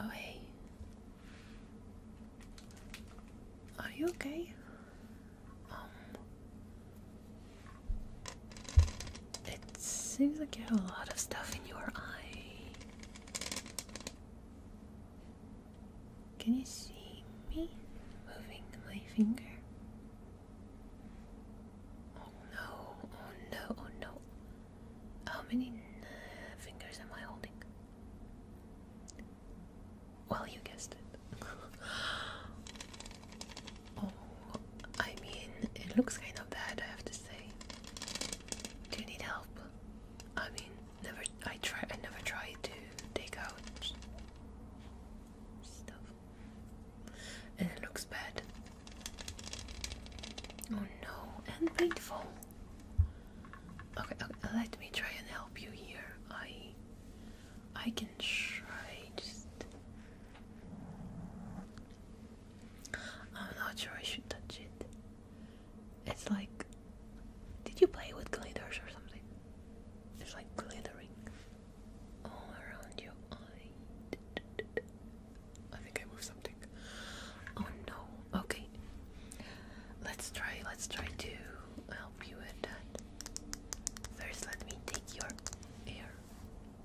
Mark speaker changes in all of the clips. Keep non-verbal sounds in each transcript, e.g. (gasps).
Speaker 1: Oh, hey. Are you okay? Um, it seems like you have a lot of stuff in your eye. Can you see me moving my finger? Oh no, oh no, oh no. How many uh, fingers am I holding? Well, you guessed it. (laughs) oh, I mean, it looks kind of bad, I have to say. Do you need help? I mean, never. I try. I never try to take out stuff and it looks bad. Oh no, and painful. Okay, okay, let me try and help you here. I I can try just I'm not sure I should touch it. It's like did you play with glitters or something? It's like glittering. I think I moved something. Oh no. Okay. Let's try. Let's try to help you with that. First, let me take your ear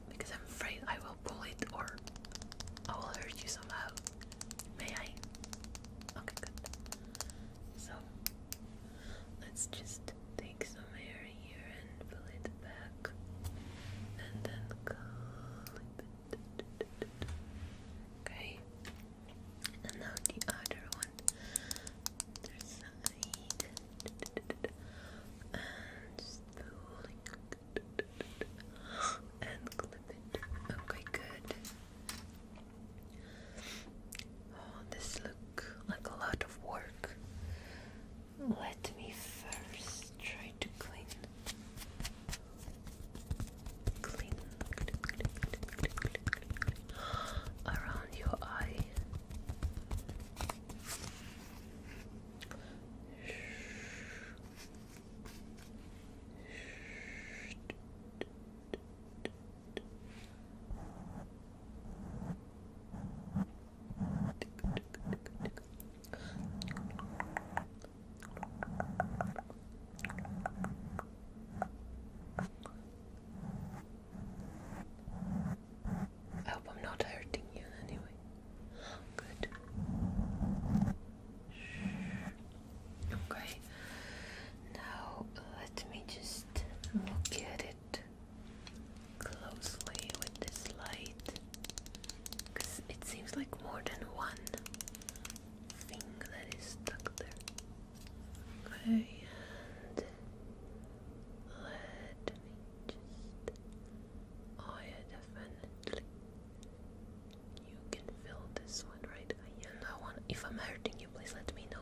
Speaker 1: because I'm afraid I will pull it or I will hurt you somehow. May I? Okay, good. So Let's just take some air here and fill it back and then clip it. Okay. And now the other one. Other side. And just pulling and clip it. Okay, good. Oh, this look like a lot of work. Let me first try to clean. Clean around your eye. I hope I'm not hurting you anyway. Good. Okay. Now let me just look at it closely with this light because it seems like more than one thing that is stuck there. Okay, and let me just. Oh, yeah, definitely. You can fill this one, right? And I want. If I'm hurting you, please let me know.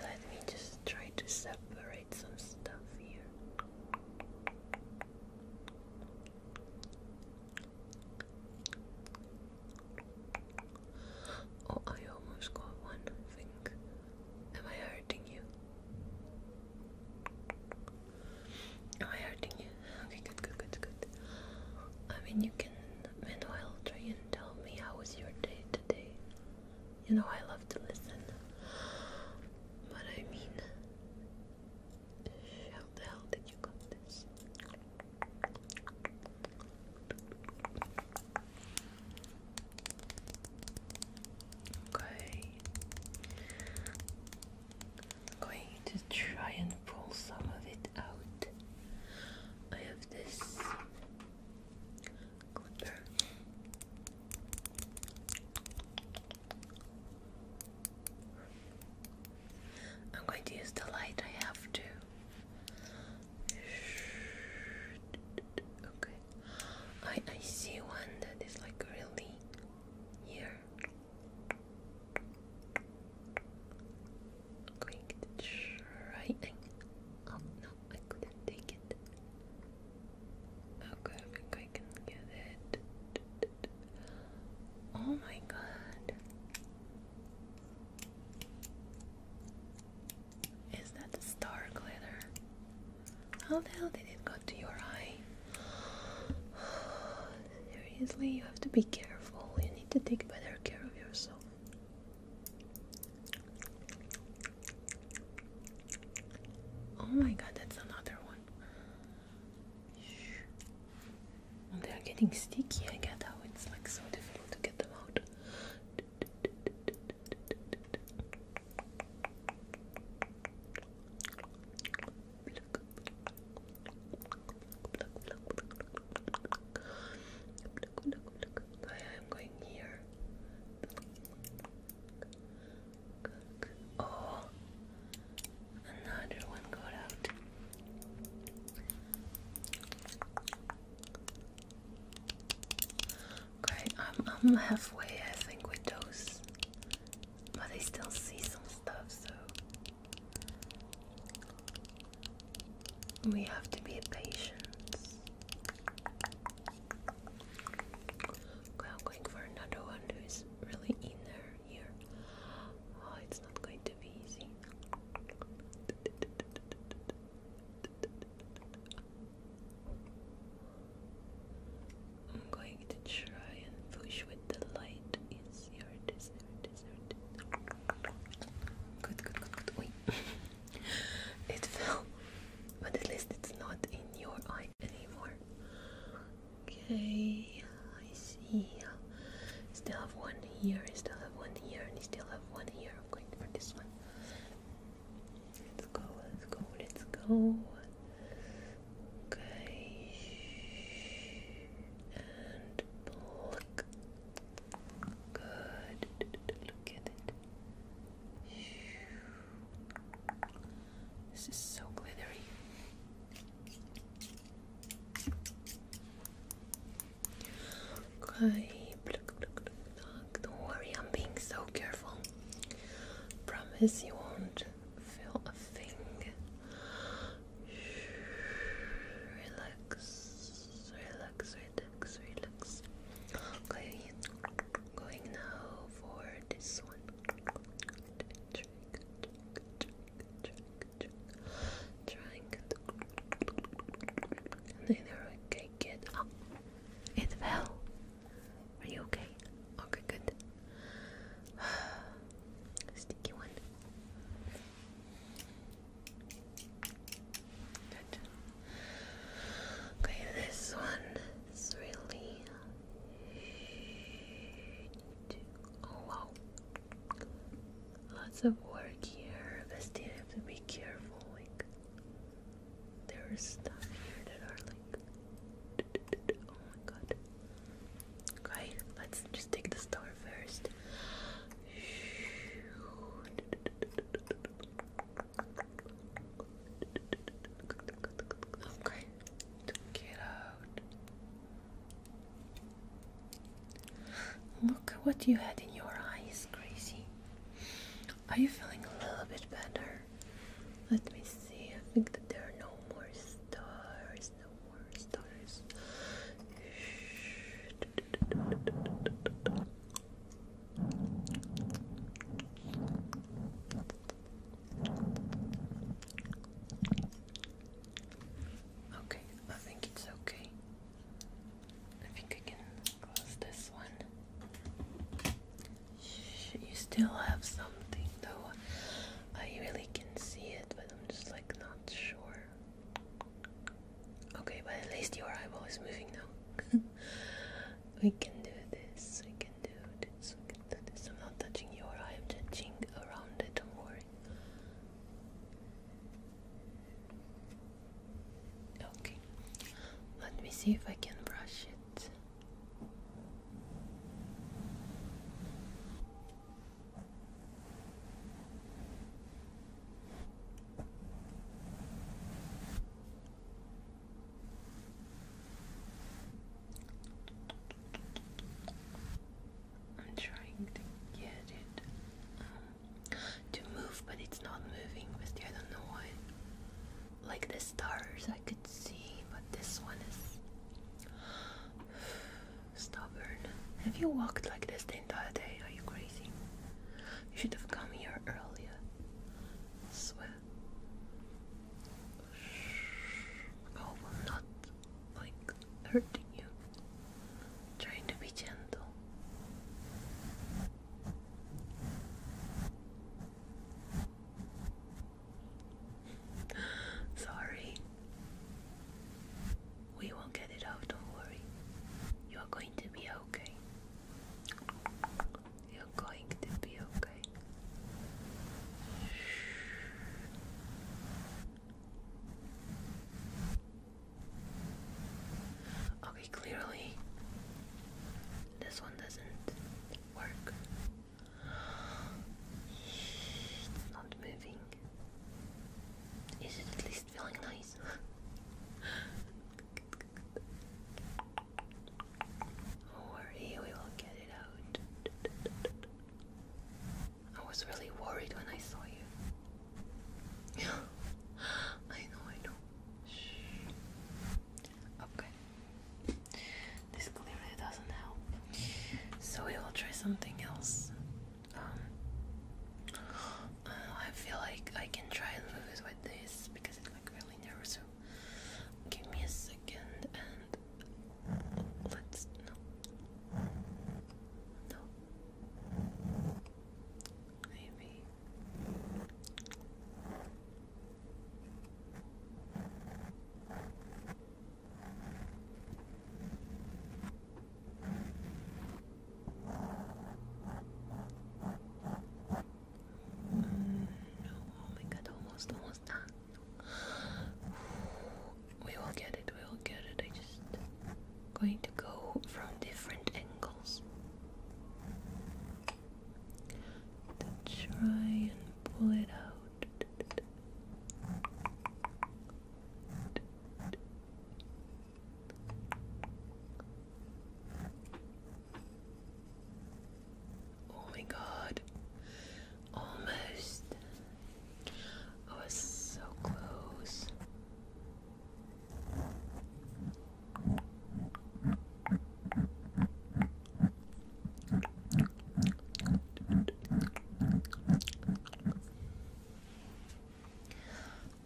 Speaker 1: Let me just try to separate write some stuff here. Oh, I almost got one thing. Am I hurting you? Am I hurting you? Okay, good, good, good, good. I mean, you can meanwhile try and tell me how was your day today. You know, I love to listen, but I mean, how the hell did you got this? Okay, I'm going to try and pull some of it out. I have this I'm going to use the light I have to. Okay. I I see one that is like really here. I'm Oh no, I couldn't take it. Okay, I think I can get it. Oh my god. Is that the star glitter? How the hell did it go to your eye? (sighs) Seriously, you have to be careful. You need to take better care of yourself. Oh my god, that's another one. Well, they are getting sticky. I get how it's like so difficult to get them out. I am going here. Oh, another one got out. Okay, I'm, I'm halfway, I think, with those, but I still see some stuff, so we have to be patient. I'm going for another one who is really in there here. Oh, it's not going to be easy. I'm going to try and push with the light. Yes, here it is, here it is, here it is. good, good, good. Wait. (laughs) it fell. But at least it's not in your eye anymore. Okay, I see. Still have one here, I still have one here, and I still have one here. I'm going for this one. Let's go, let's go, let's go. Okay. And look. Good. Look at it. This is so glittery. Okay, don't worry, I'm being so careful. Promise you won't feel a thing. Relax, relax, relax, relax. Okay, going now for this one. Trying okay, kid. it fell. Are you okay? Okay, good. (sighs) Sticky one. Okay, this one. It's really oh wow lots of work here but still have to be careful like there is stuff here that are like (laughs) oh my god okay let's just take the star first Okay. Get out. Look at what you had in your eyes, Gracie. Are you feeling a little bit better? Let me see. I think that there are no more stars. No more stars. Okay, I think it's okay. I think I can close this one. You still have something though. I really can see it, but I'm just like not sure. Okay, but at least your eyeball is moving now. (laughs) we can do this, we can do this, we can this. I'm not touching your eye, I'm touching around it, don't worry. Okay, let me see if I can brush it. I'm trying to get it um, to move, but it's not moving. With I don't know why. Like the stars, I could see, but this one is (sighs) stubborn. Have you walked like this the entire day? Are you crazy? You should have come here earlier. I Oh, I'm not like hurting you. I'm trying to be gentle. (gasps) Sorry. We won't get it off. don't worry. You are going to be okay. You're going to be okay. Okay, clearly this one doesn't work. It's not moving. Is it at least feeling nice? (laughs) Don't worry, we will get it out. I was really worried when I saw you. (gasps) I know, I know. Shh. Okay. This clearly doesn't help. So we will try something else. Um, (gasps) I feel like I can try lose with this because it's like really nervous. Give me a second and let's no. No. Maybe. Mm, no, oh my god, almost, almost done. We will get it, we will get it. I am just going to go from different angles. To try and pull it out. Oh my god. Almost. I was so close.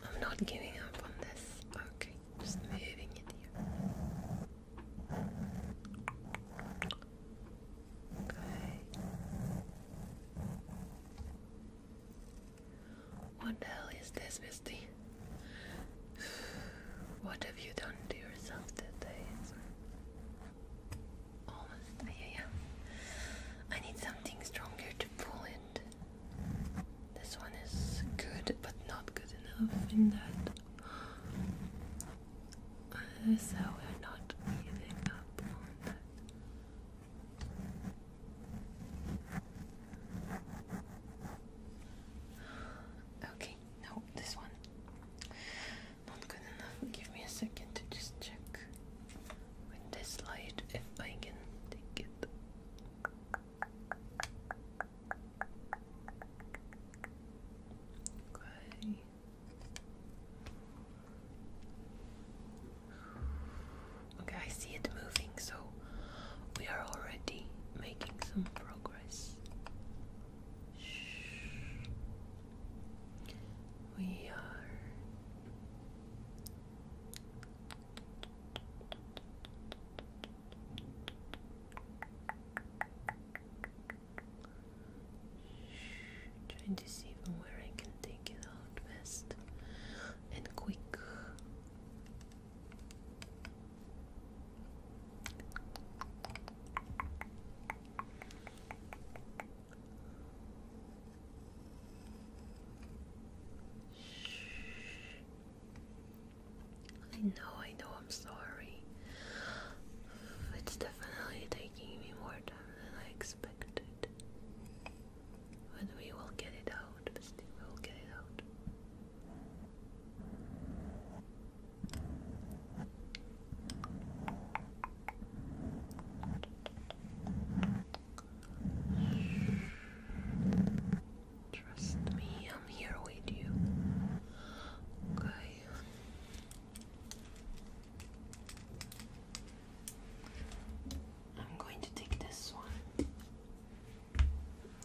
Speaker 1: I'm not giving up on this. Okay, just moving it here. What the hell is this, Misty? (sighs) What have you done to yourself today? Almost, yeah, yeah. I need something stronger to pull it. This one is good, but not good enough in that. Uh, so we're not giving up on that. Okay, no, this one. Not good enough. Give me a second to just check with this light if I can take it. Okay. Okay, I see it moving, so we are already making some progress. We are. Trying to see from where I can take it out best and quick. I know, I know, I'm sorry. It's definitely taking me more time than I expected. But we will get it out, We will get it out. Trust me, I'm here with you. Okay. I'm going to take this one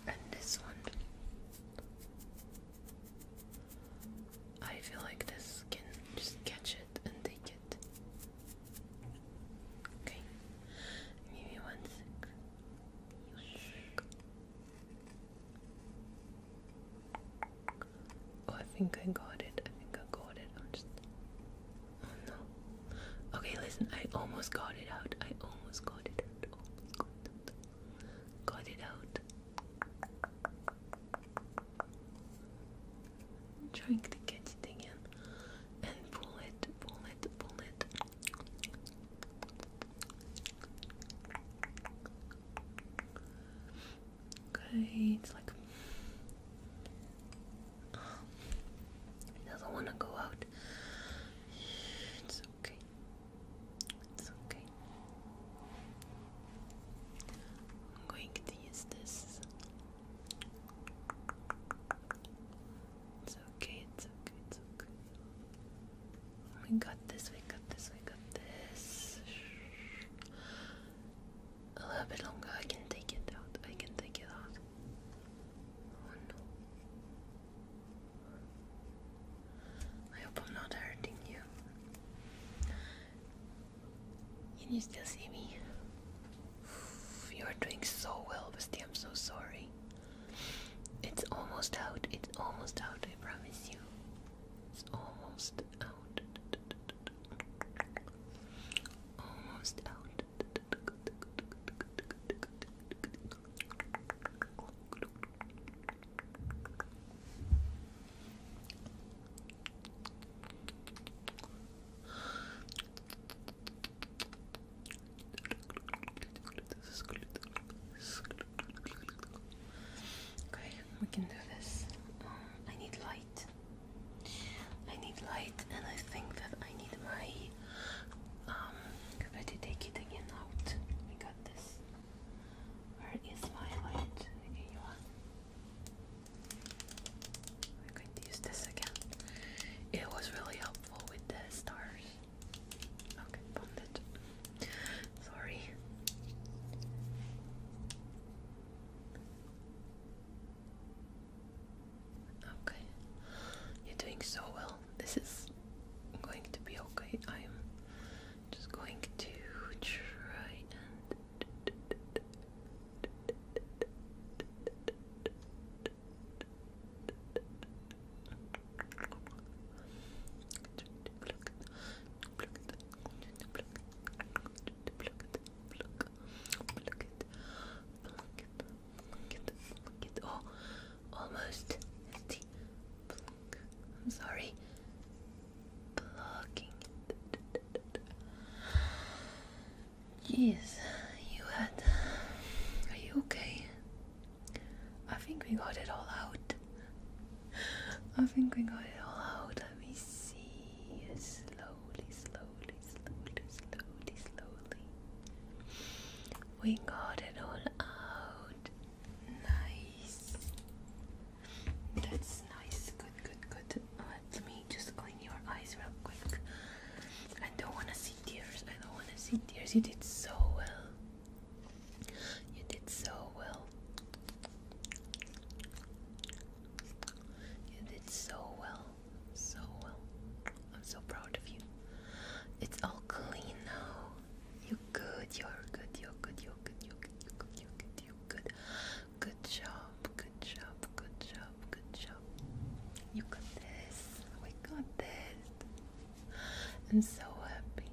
Speaker 1: and this one. I feel like this can just catch it and take it. Okay, give me one sec. Oh, I think I got it. I think I got it. I'm just. Oh no. Okay, listen. I almost got it out. I almost got it out. got it out. I'm trying to catch it again and pull it, pull it, pull it. Okay, it's like he doesn't want to go out. It's okay. It's okay. I'm going to use this. It's okay, it's okay, it's okay. We got this, we got this, we got this. A little bit longer, I can take it out, I can take it out. Oh no. I hope I'm not hurting you. Can you still see me? You are doing so well, Basti. I'm so sorry. It's almost out. It's almost out. I promise you. It's almost Almost out. Okay, we can do this. I need light. I need light, and I think that I need my. better um, take it again out. I got this. Where is my light? Okay, I'm going to use this again. It was really helpful with the stars. Okay, found it. Sorry. Okay. You're doing so well. This is going to be okay. I'm just going to try almost empty. I'm sorry. Jeez, you had. Are you okay? I think we got it all out. I think we got it all out. Oh, let me see. Slowly, slowly, slowly, slowly, slowly. We got it all out. Nice. That's nice. Good, good, good. Let me just clean your eyes real quick. I don't want to see tears. I don't want to see tears. You did so well. You did so well. You did so well, so well. I'm so proud of you. It's all clean now. You're good, you're good, you're good, you're good, you're good, you're good, you're good, you're good. Good job, good job, good job, good job. You got this. We got this. I'm so happy.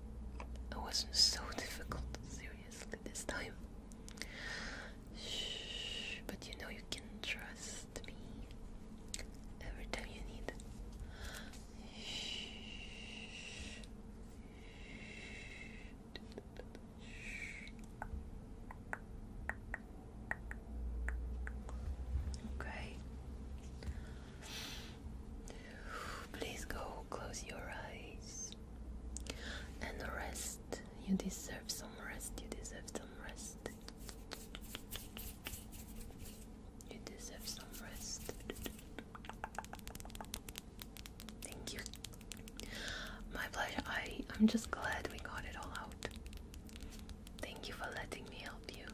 Speaker 1: It wasn't so (laughs) difficult, seriously this time. but you know you can trust me every time you need. Okay. Please go close your eyes and rest. You deserve some rest. You deserve some rest. You deserve some rest. Thank you. My pleasure. I, I'm just glad we got it all out. Thank you for letting me help you,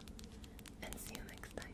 Speaker 1: and see you next time.